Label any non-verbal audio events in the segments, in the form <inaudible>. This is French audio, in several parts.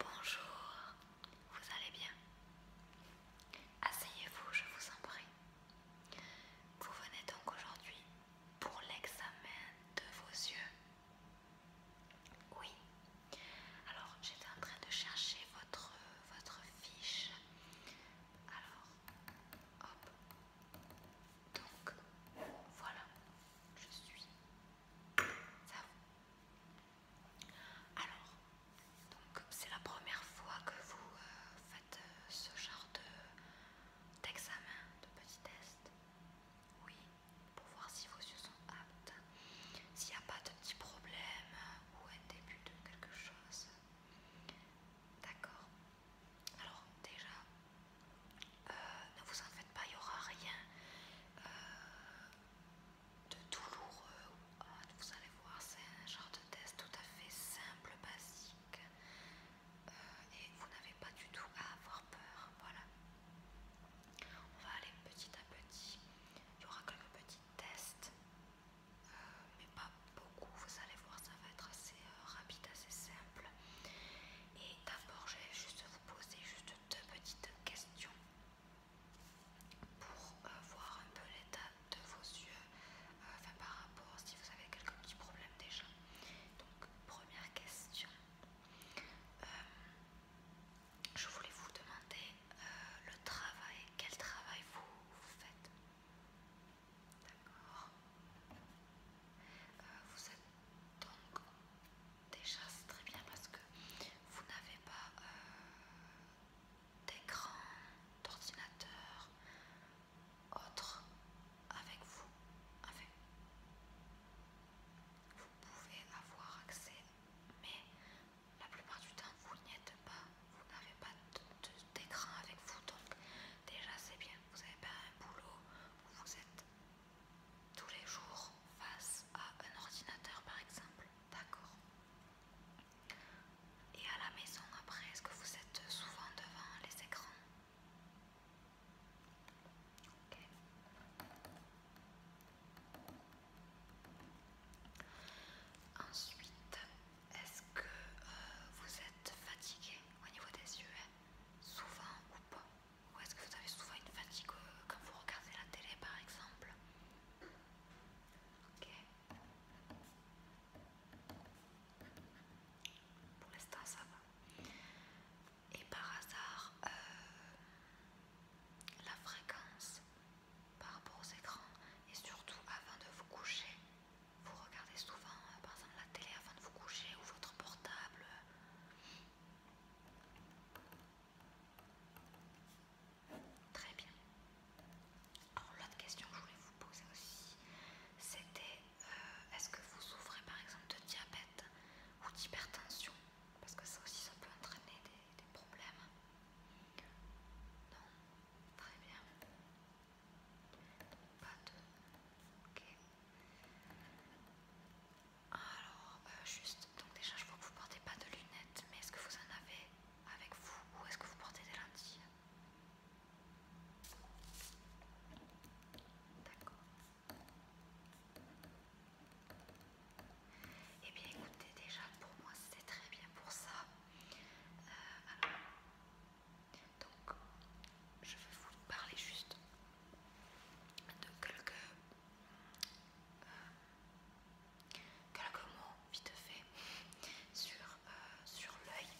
Bonjour, vous allez bien Asseyez-vous, je vous en prie. Vous venez donc aujourd'hui pour l'examen de vos yeux Oui. Alors, j'étais en train de chercher votre, votre fiche. Alors, hop. Donc, voilà, je suis alors, donc c'est la première fois que vous euh, faites euh, ce genre d'examen, de, de petit test. Oui, pour voir si vos yeux sont aptes. S'il n'y a pas de petit problème euh, ou un début de quelque chose. D'accord. Alors déjà, euh, ne vous en faites pas, il n'y aura rien euh, de douloureux. vous allez voir, c'est un genre de test tout à fait simple, basique. Euh, et vous n'avez pas du tout à avoir peur. Voilà. On va aller petit à petit. Il y aura quelques petits tests. mais pas beaucoup, vous allez voir, ça va être assez rapide, assez simple. Et d'abord, j'ai juste poser juste deux petites questions pour euh, voir un peu l'état de vos yeux euh, enfin, par rapport si vous avez quelques petits problèmes déjà. Donc première question. Euh, je voulais vous demander le travail, quel travail vous, faites D'accord. vous êtes donc déjà c'est très bien parce que vous n'avez pas euh, d'écran, d'ordinateur, autre avec vous. vous pouvez avoir accès, mais la plupart du temps vous n'y êtes pas, vous n'avez pas d'écran avec vous, donc déjà c'est bien, vous n'avez pas un boulot où vous êtes tous les jours face à un ordinateur par exemple D'accord. Et à la maison après, est-ce que vous êtes souvent devant les écrans Ok. Ensuite, est-ce que euh, vous êtes fatigué au niveau des yeux hein? Souvent ou pas ou est-ce que vous avez souvent une fatigue euh, quand vous regardez la télé par exemple Pour l'instant ça va. Et par hasard, euh, la fréquence par rapport aux écrans et surtout avant de vous coucher, vous regardez souvent euh, par exemple la télé avant de vous coucher ou votre portable. Très bien. Alors l'autre question que je voulais vous poser aussi, c'était euh, est-ce que vous souffrez par exemple de diabète ou d'hypertension Parce que ça aussi ça peut entraîner des, des problèmes. Non Très bien. Pas de... Ok. Alors, euh, juste, donc déjà je vois que vous portez pas de lunettes, mais est-ce que vous en avez avec vous ou est-ce que vous portez des lentilles D'accord. Eh bien écoutez, déjà pour moi c'était très bien pour ça. Euh, donc je vais vous parler juste de quelques quelques euh, mots vite fait sur, euh, sur l'œil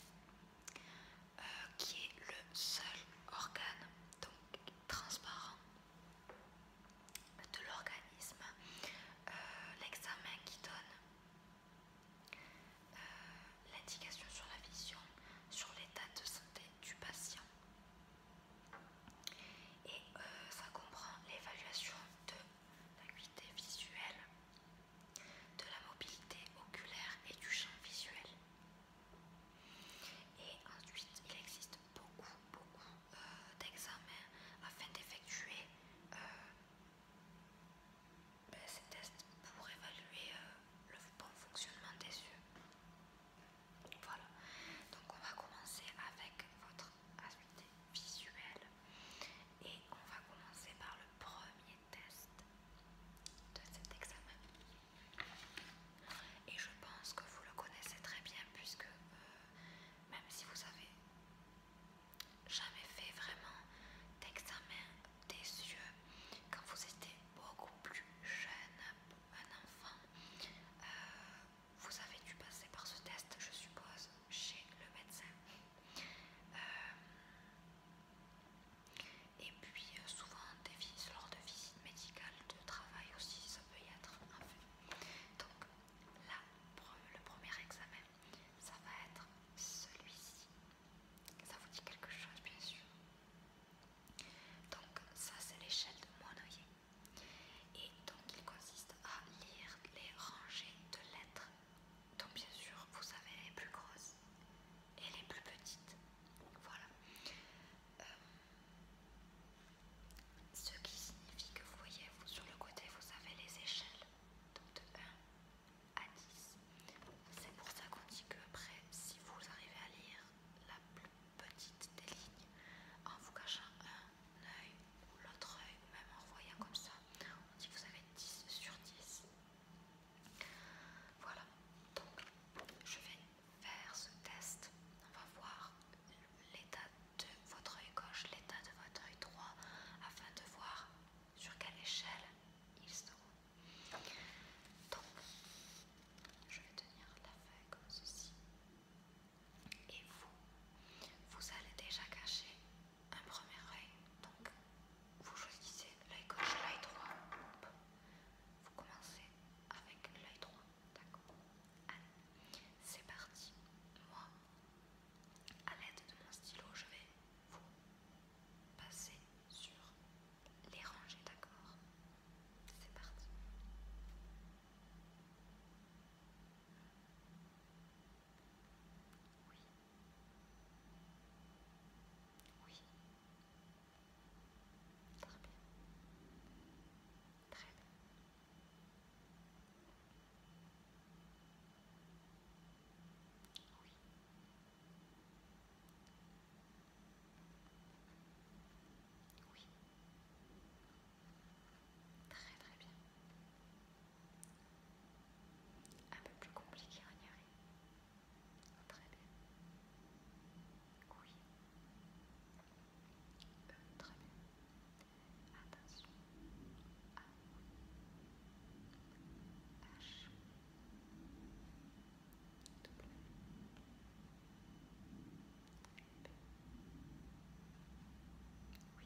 euh, qui est le seul organe donc transparent de l'organisme. L'examen qui donne l'indication sur la vision, sur l'état de santé du patient. Et euh, ça comprend l'évaluation de l'acuité visuelle, de la mobilité oculaire et du champ visuel. Et ensuite, il existe beaucoup, beaucoup euh, d'examens afin d'effectuer euh, ben, ces tests pour évaluer le bon fonctionnement des yeux. Voilà, donc on va commencer avec votre aspect visuel et on va commencer par le premier test de cet examen. Et je pense que vous le connaissez très bien puisque euh, même si vous avez jamais fait vraiment d'examen des yeux quand vous étiez beaucoup plus jeune, un enfant, euh, vous avez dû passer par ce test, je suppose, chez le médecin. Euh, et puis euh, souvent des genre lors de visites médicales, de travail aussi, ça peut y être un fait. Donc là, le premier examen, ça va être celui-ci. Ça vous dit quelque chose, bien sûr. Donc ça c'est l'échelle de Monnoyer. Et donc il consiste à lire les rangées de lettres. Donc bien sûr vous avez les plus grosses et les plus petites. Voilà. Euh, ce qui signifie que vous voyez vous, sur le côté vous avez les échelles. Donc de 1 à 10. C'est pour ça qu'on dit que après si vous arrivez à lire la plus petite des lignes en vous cachant un œil ou l'autre œil, ou même en voyant comme ça. On dit que vous avez 10 sur 10. Voilà, donc je vais faire ce test. On va voir l'état de votre œil gauche, l'état de votre œil droit, afin de voir sur quelle échelle ils seront. Donc, je vais tenir la feuille comme ceci. Et vous, vous allez déjà cacher un premier oeil, Donc, vous choisissez l'œil gauche, l'œil droit. Vous commencez avec l'œil droit. D'accord Allez, c'est parti. Moi, à l'aide de mon stylo, je vais vous passer sur les rangées. D'accord c'est parti. Oui. Oui. Très bien. Très bien. Oui. Oui. Très très bien. Un peu plus compliqué à ignorer. Oh, très bien. Oui. Euh, très bien. Attention. A. Ah, H. W. Oui.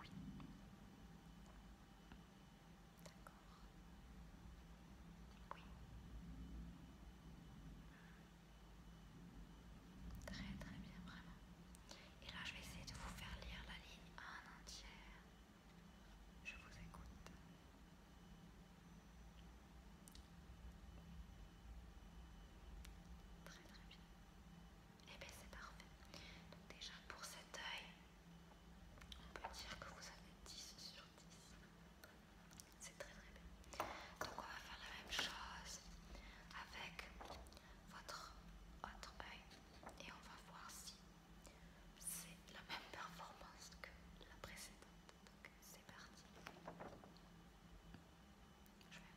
Oui. D'accord. Oui. Très très bien, vraiment. Et là, je vais essayer de vous faire lire la ligne en entière. Je vous écoute. Très très bien. Et eh bien c'est parfait. Donc déjà pour cet œil, on peut dire que vous avez 10 sur 10. C'est très très bien. Donc on va faire la même chose avec votre autre œil et on va voir si c'est la même performance que la précédente. Donc c'est parti. Je vais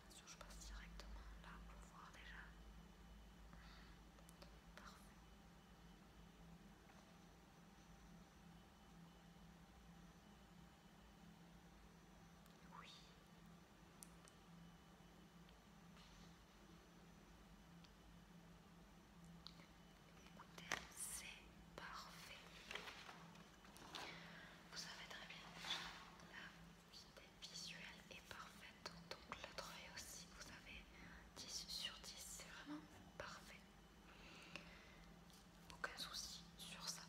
Attention, je passe directement là pour voir déjà. Parfait. Oui. Écoutez, c'est parfait. Vous savez très bien, la visuelle est parfaite. Donc l'autre travail aussi, vous avez 10 sur 10, c'est vraiment parfait. Aucun souci sur ça.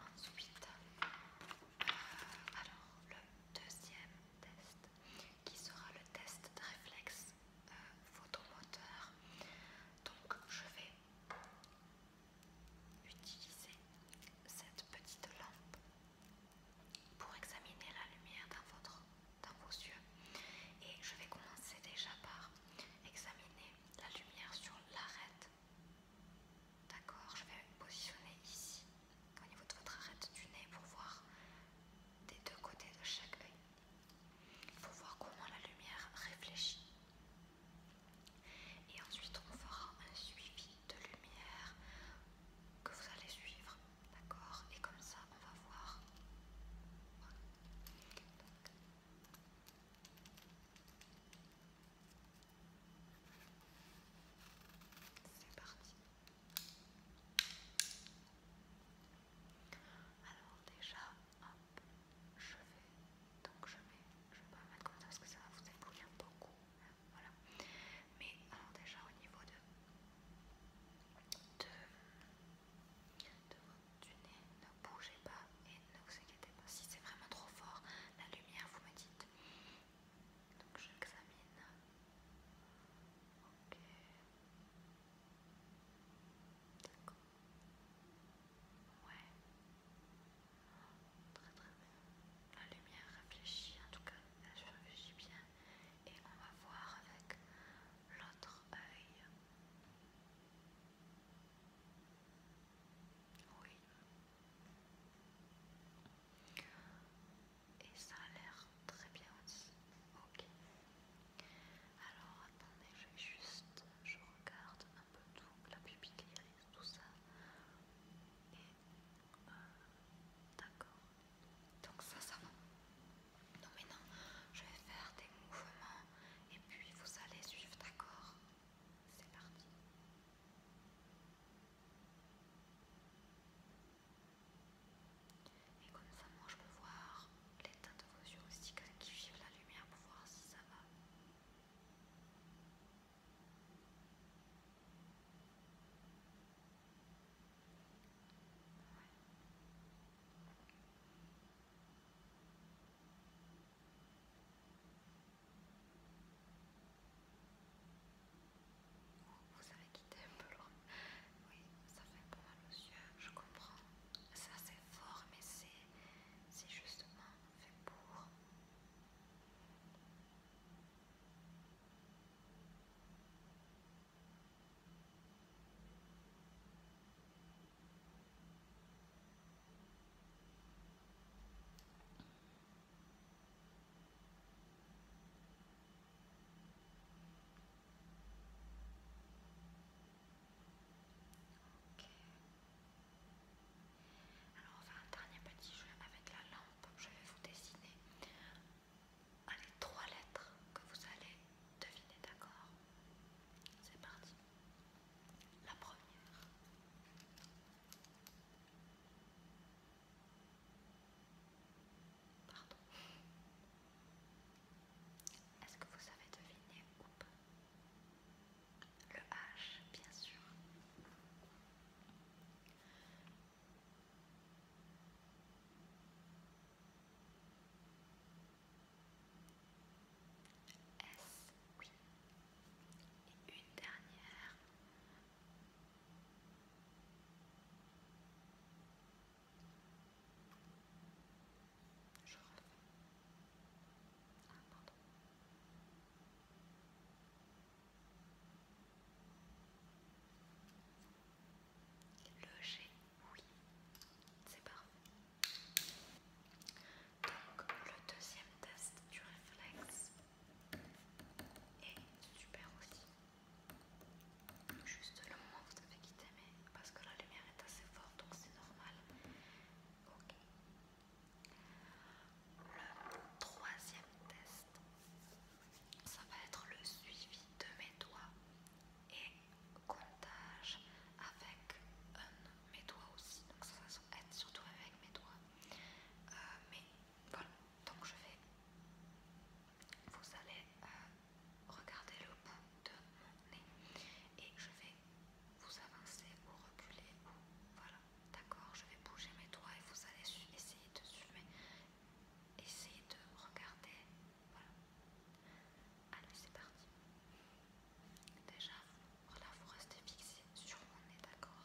Ensuite, euh, alors le deuxième test qui sera le test de réflexe euh, photomoteur. Donc je vais utiliser cette petite lampe pour examiner la lumière dans, votre, vos yeux. Et je vais commencer déjà par examiner la lumière sur l'arête. D'accord Je vais positionner ici, au niveau de votre arête du nez, pour voir des deux côtés de chaque œil. Il voir comment la lumière réfléchit. Et ensuite, on fera un suivi de lumière que vous allez suivre, d'accord Et comme ça, on va voir. C'est parti. Alors déjà, hop, je vais, donc je vais, je vais pas mettre comme ça parce que ça va vous éblouir beaucoup. Voilà. Mais alors déjà au niveau de, de, de votre nez, ne bougez pas et ne vous inquiétez pas. Si c'est vraiment trop fort, la lumière vous me dites. Donc j'examine. Ok. D'accord. Ouais. Très très bien. La lumière réfléchit en tout cas. Elle réfléchit bien et on va voir avec l'autre œil. Oui. Et ça a l'air très bien aussi. Ok. Alors attendez, je juste, je regarde un peu tout, la pupille iris, tout ça. Et euh, d'accord. Donc ça, ça va. Non mais je vais faire des mouvements et puis vous allez suivre, d'accord C'est parti. Et comme ça, moi je peux voir l'état de vos yeux aussi, qui suivent la lumière pour voir si ça va. Vous avez quitté un peu loin. Oui, ça fait pas mal aux yeux, je comprends. Ça C'est fort, mais c'est justement fait pour. Alors on va faire un dernier petit jeu avec la lampe. Je vais vous dessiner allez, trois lettres que vous allez deviner, d'accord C'est parti. La première. Pardon. Est-ce que vous avez deviné ou pas le H, bien sûr. S, oui. Et une dernière. Je refais. Attends. Ah, pardon. Le G, oui, c'est parfait. Donc le deuxième test du réflexe est super aussi. Juste le moment où vous avez quitté, mais parce que la lumière est assez forte, donc c'est normal. Ok. Le troisième test ça va être le suivi de mes doigts et comptage avec un, mes doigts aussi. Donc ça, va être surtout avec mes doigts. Euh, mais voilà, donc je vais... Vous allez euh, regarder le bout de mon nez et je vais vous avancer ou reculer. voilà, d'accord, je vais bouger mes doigts et vous allez essayer de suivre Essayez de regarder. Voilà. Allez, c'est parti. Déjà, voilà, vous restez fixé sur mon nez, d'accord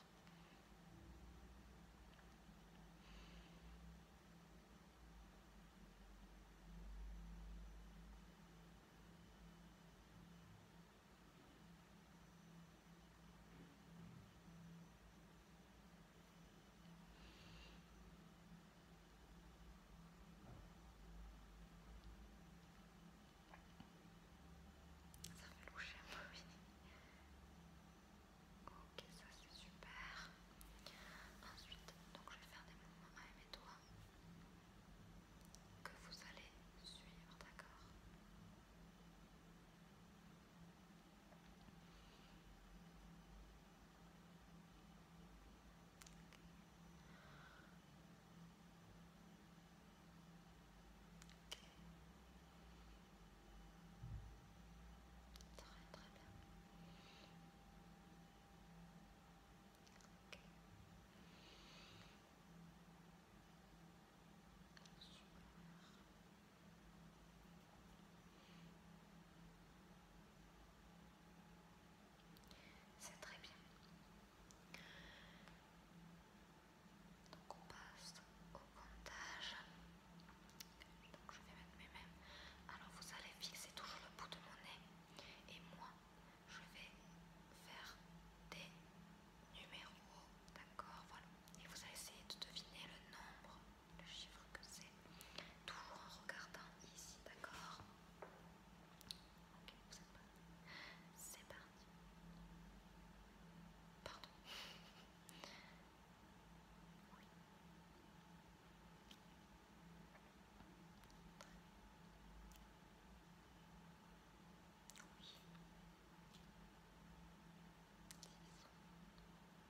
ça fait loucher un peu, Ok, ça c'est super. Ensuite, donc je vais faire des mouvements avec mes doigts que vous allez suivre, d'accord Très très bien. C'est très bien. Donc on passe au comptage. Donc je vais mettre mes mêmes. Alors vous allez fixer toujours le bout de mon nez. Et moi, je vais faire des numéros. D'accord Voilà. Et vous allez essayer de deviner le nombre le chiffre que c'est, toujours en regardant ici, d'accord Ok, vous êtes C'est parti. Pardon. <laughs>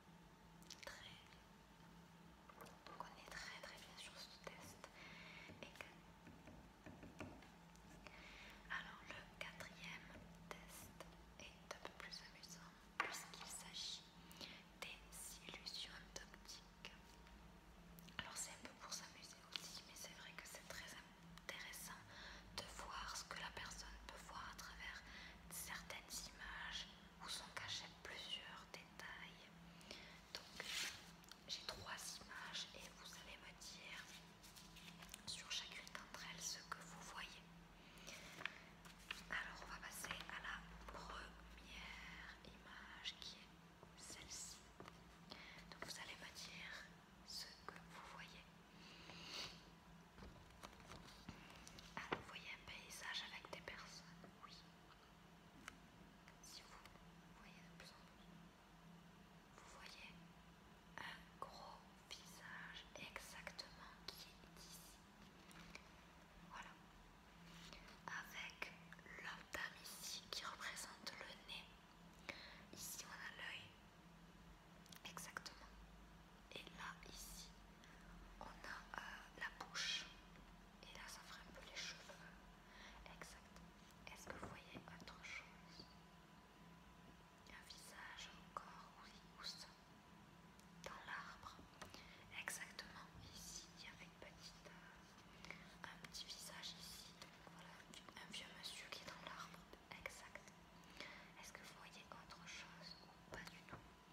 très. Donc on est très très bien sur ce test. Alors le quatrième test est un peu plus amusant puisqu'il s'agit des illusions optiques. Alors c'est un peu pour s'amuser aussi, mais c'est vrai que c'est très intéressant de voir ce que la personne peut voir à travers certaines images où sont cachés plusieurs donc j'ai trois images et vous allez me dire sur chacune d'entre elles ce que vous voyez. Alors on va passer à la première image qui est celle-ci. Donc vous allez me dire ce que vous voyez. Ah vous voyez un paysage avec des personnes, oui. Si vous voyez de plus en plus, vous voyez un gros visage exactement qui est ici. Voilà. Avec l'entame ici qui représente le nez. Ici on a l'œil. Exactement. Et là ici on a euh, la bouche. Et là, ça ferait un peu les cheveux. Exact. Est-ce que vous voyez autre chose Un visage, encore oui, ça Dans l'arbre. Exactement, ici, il y avait une petite, euh, un petit visage ici. voilà, un vieux monsieur qui est dans l'arbre. Exact. Est-ce que vous voyez autre chose ou pas du tout Ok,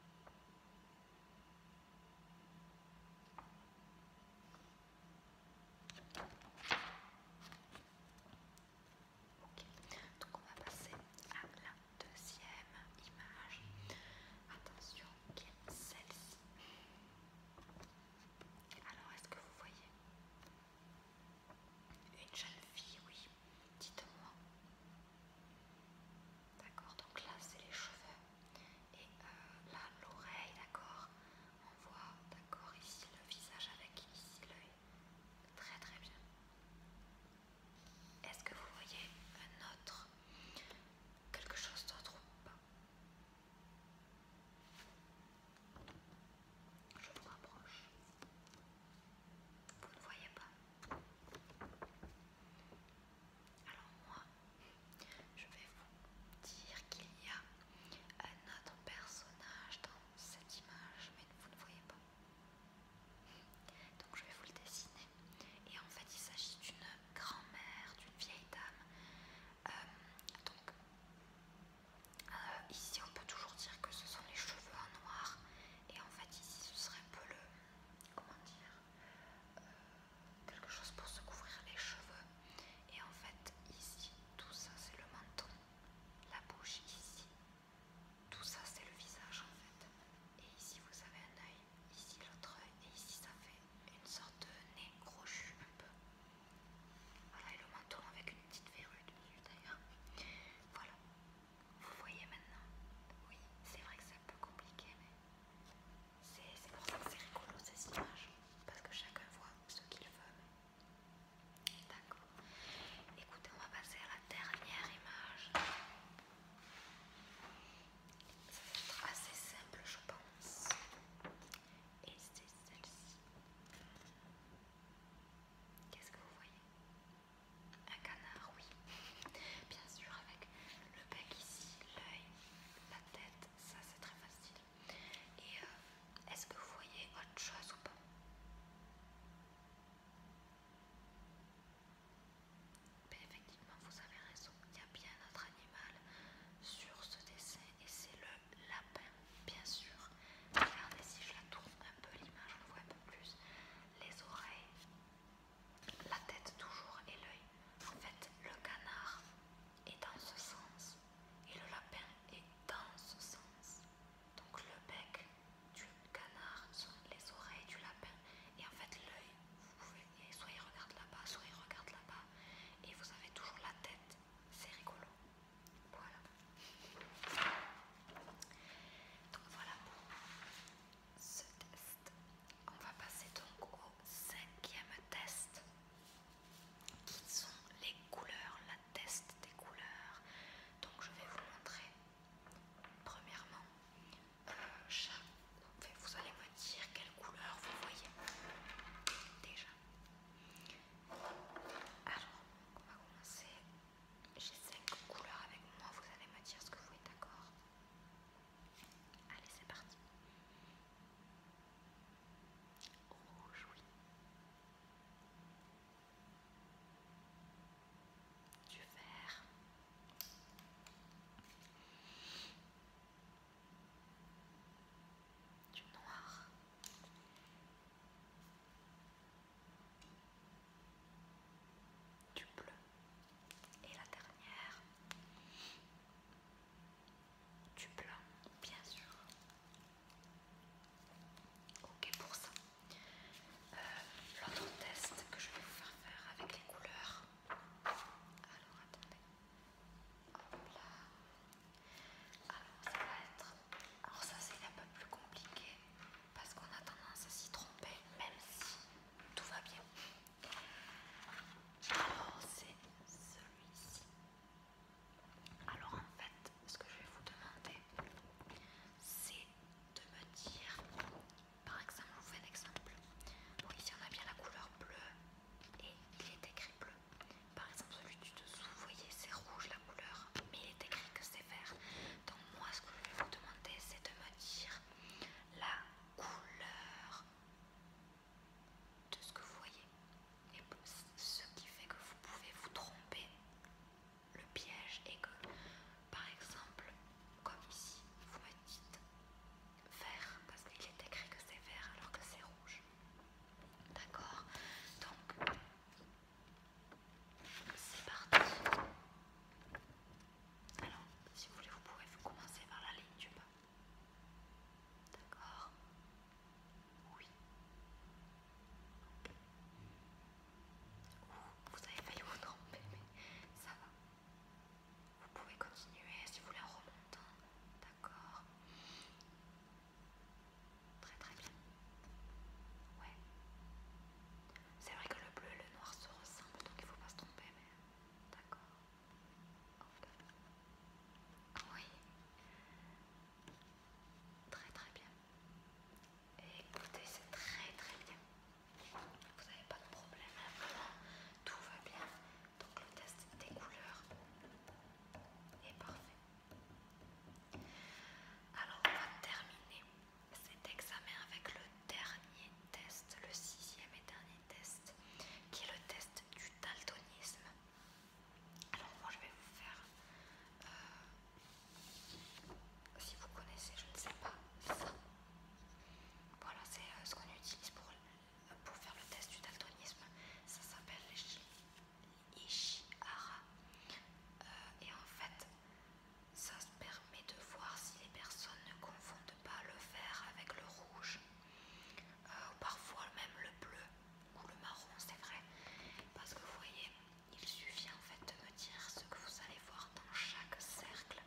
Donc on va passer à la deuxième image. Attention, qui est celle-ci. Alors est-ce que vous voyez une jeune fille, oui, dites-moi. D'accord, donc là c'est les cheveux. Et euh, là, l'oreille, d'accord On voit, d'accord, ici le visage avec ici l'œil. Très très bien. Est-ce que vous voyez un autre quelque chose d'autre ou pas Je vous rapproche. Vous ne voyez pas alors moi, je vais vous dire qu'il y a un autre personnage dans cette image, mais vous ne voyez pas. Donc je vais vous le dessiner. Et en fait, il s'agit d'une grand-mère, d'une vieille dame. Euh, donc, euh, ici, on peut toujours dire que ce sont les cheveux en noir. Et en fait, ici, ce serait un peu le... Comment dire euh, quelque chose pour se couvrir les cheveux. Et en fait, ici, tout ça c'est le menton, la bouche ici, tout ça c'est le visage en fait. Et ici vous avez un oeil, ici l'autre œil, et ici ça fait une sorte de nez crochu un peu. Voilà, et le menton avec une petite verrue du d'ailleurs. Voilà, vous voyez maintenant. Oui, c'est vrai que c'est un peu compliqué, mais c'est pour ça que c'est rigolo ces images, parce que chacun voit ce qu'il veut. D'accord. Écoutez, on va passer à la dernière image. Ça va être assez simple, je pense. Et c'est celle-ci. Qu'est-ce que vous voyez Un canard, oui. Bien sûr, avec le bec ici, l'œil, la tête, ça c'est très facile. Et euh, est-ce que vous voyez autre chose ou pas ben, Effectivement, vous avez raison, il y a bien notre animal sur ce dessin et c'est le lapin, bien sûr. Regardez si je la tourne un peu l'image, on le voit un peu plus. Les oreilles, la tête toujours et l'œil. En fait, le canard est dans ce sens et le lapin est dans ce sens. Donc le bec du canard sont les oreilles du lapin et en fait l'œil, vous pouvez, soit il regarde là-bas, soit il regarde là-bas et vous avez toujours la tête. C'est rigolo. Voilà. Donc voilà ce test. On va passer donc au cinquième test qui sont les couleurs, la test des couleurs. Donc je vais vous montrer premièrement euh, vous allez me dire quelle couleur vous voyez déjà. Alors, on va commencer. J'ai cinq couleurs avec moi, vous allez me dire ce que vous êtes d'accord Allez, c'est parti. Rouge, oui. Du vert. Du noir. Du bleu. Et la dernière, du blanc, bien sûr. Ok pour ça. Euh, l'autre test que je vais vous faire faire avec les couleurs. Alors attendez. Hop là. Alors ça va être. Alors ça c'est un peu plus compliqué parce qu'on a tendance à s'y tromper même si tout va bien. Oh, c'est celui-ci. Alors en fait, ce que je vais vous demander, c'est de me dire, par exemple, je vous fais un exemple. Bon, ici on a bien la couleur bleue et il est écrit bleu. Par exemple, celui du dessous, vous voyez, c'est rouge la couleur, mais il est écrit que c'est vert. Donc moi, ce que je vais vous demander, c'est de me dire la couleur de ce que vous voyez. Et ce qui fait que vous pouvez vous tromper. Le piège est que, par exemple, comme ici, vous me dites vert parce qu'il est écrit que c'est vert alors que c'est rouge. D'accord Donc, c'est parti. Alors, si vous voulez, vous pouvez vous commencer par la ligne du bas. D'accord Oui. vous avez failli vous tromper, mais ça va. Vous pouvez continuer si vous voulez en remontant. Hein. D'accord Très très bien. Ouais. C'est vrai que le bleu et le noir se ressemblent, donc il ne faut pas se tromper, mais... D'accord. Oui. Très très bien. écoutez, c'est très très bien. Vous n'avez pas de problème, hein, Tout va bien. Donc le test des couleurs est parfait. Alors on va terminer cet examen avec le dernier test, le sixième et dernier test, qui est le test du daltonisme. Alors moi je vais vous faire, euh, si vous connaissez, je ne sais pas, ça. Voilà, c'est euh, ce qu'on utilise pour, pour faire le test du daltonisme. Ça s'appelle l'Ishihara. Euh, et en fait, ça permet de voir si les personnes ne confondent pas le vert avec le rouge, euh, ou parfois même le bleu ou le marron, c'est vrai, parce que vous voyez, il suffit en fait de me dire ce que vous allez voir dans chaque cercle,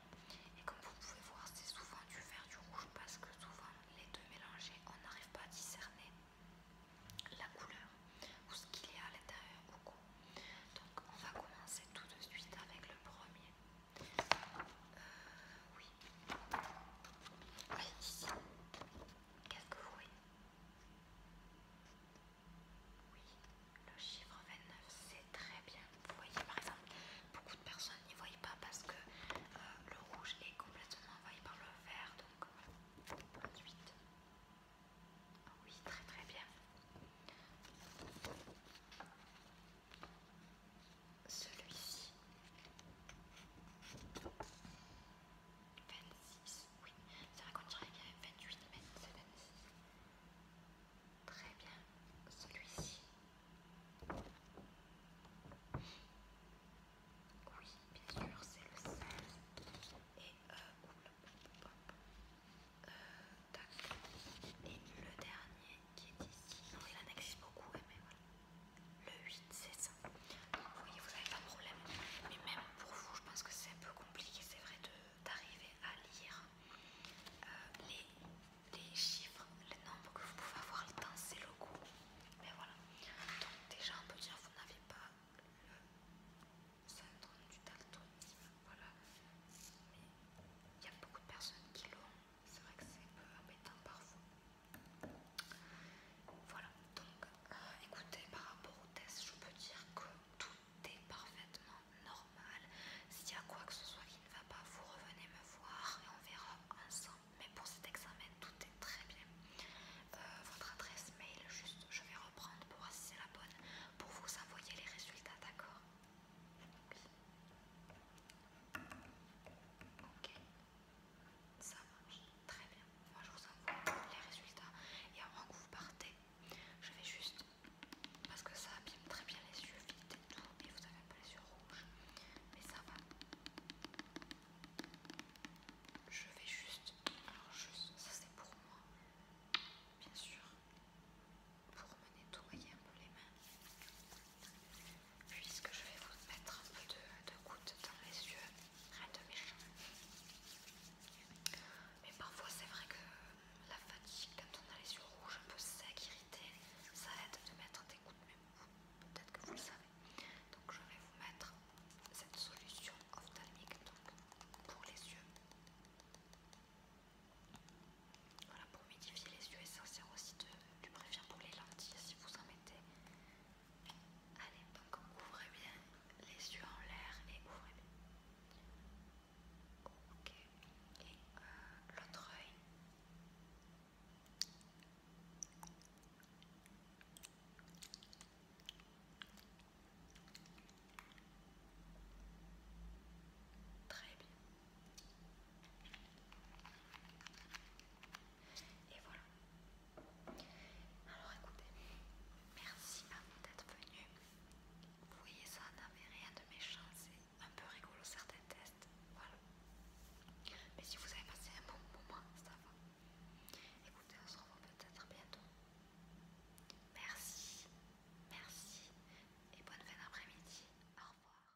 et comme vous pouvez voir, c'est souvent du vert, du rouge, parce que souvent les deux mélangés, on n'arrive pas à discerner la couleur ou ce qu'il y a à l'intérieur beaucoup. Donc on va commencer tout de suite avec le premier oui. Qu'est-ce que vous voyez le chiffre 29, c'est très bien. Vous voyez par exemple, beaucoup de personnes n'y voient pas parce que euh, le rouge est complètement envahi par le vert. Donc, euh, Oui, très très bien celui-ci. 26, oui, ça raconte qu'on dirait 28, mais c'est 26. Très bien, celui-ci. Oui, bien sûr, c'est le 16. Et euh, hop euh, tac. Et le dernier, qui est ici. il en existe beaucoup, mais voilà. Le 8, c'est ça. Donc vous voyez, vous n'avez pas de problème. Mais même pour vous, je pense que c'est un peu compliqué, c'est vrai, d'arriver à lire euh, les, chiffres, les nombres que vous pouvez avoir dans ces logos. Mais voilà. Donc déjà, on peut dire que vous n'avez pas le syndrome du daltonisme. Voilà. Mais il y a beaucoup de personnes qui l'ont c'est vrai que c'est un peu embêtant parfois. Voilà, donc euh, écoutez, par rapport au test, je peux dire que tout est parfaitement normal. S'il y a quoi que ce soit qui ne va pas, vous revenez me voir et on verra ensemble. Mais pour cet examen, tout est très bien. Euh, votre adresse mail, juste je vais reprendre pour voir si la bonne, pour vous envoyer les résultats, d'accord Ok, ça marche très bien. Moi je vous envoie les résultats et avant que vous partez, je vais juste parce que ça abîme très bien les yeux vides et tout, et vous avez un peu les yeux rouges, mais ça va. Je vais juste, alors juste, ça c'est pour moi, bien sûr, pour me nettoyer un peu les mains puisque je vais vous mettre un peu de, gouttes dans les yeux, rien de méchant. Mais parfois c'est vrai que la fatigue, quand on a les yeux rouges, un peu secs, irrités, ça aide de mettre des gouttes, mais peut-être que vous le savez. Donc je vais vous mettre cette solution ophtalmique pour les yeux. Voilà, pour humidifier les yeux et ça sert aussi de, du pour les lentilles si vous en mettez. Allez, donc ouvrez bien les yeux en l'air et ouvrez bien. Ok, et euh, l'autre œil. Très bien. Et voilà. Alors écoutez, merci à vous d'être venu Vous voyez, ça n'avait rien de méchant, c'est un peu rigolo certains tests. Voilà. Mais si vous avez passé un bon moment, ça va. Écoutez, on se revoit peut-être bientôt. Merci, merci et bonne fin d'après-midi. Au revoir.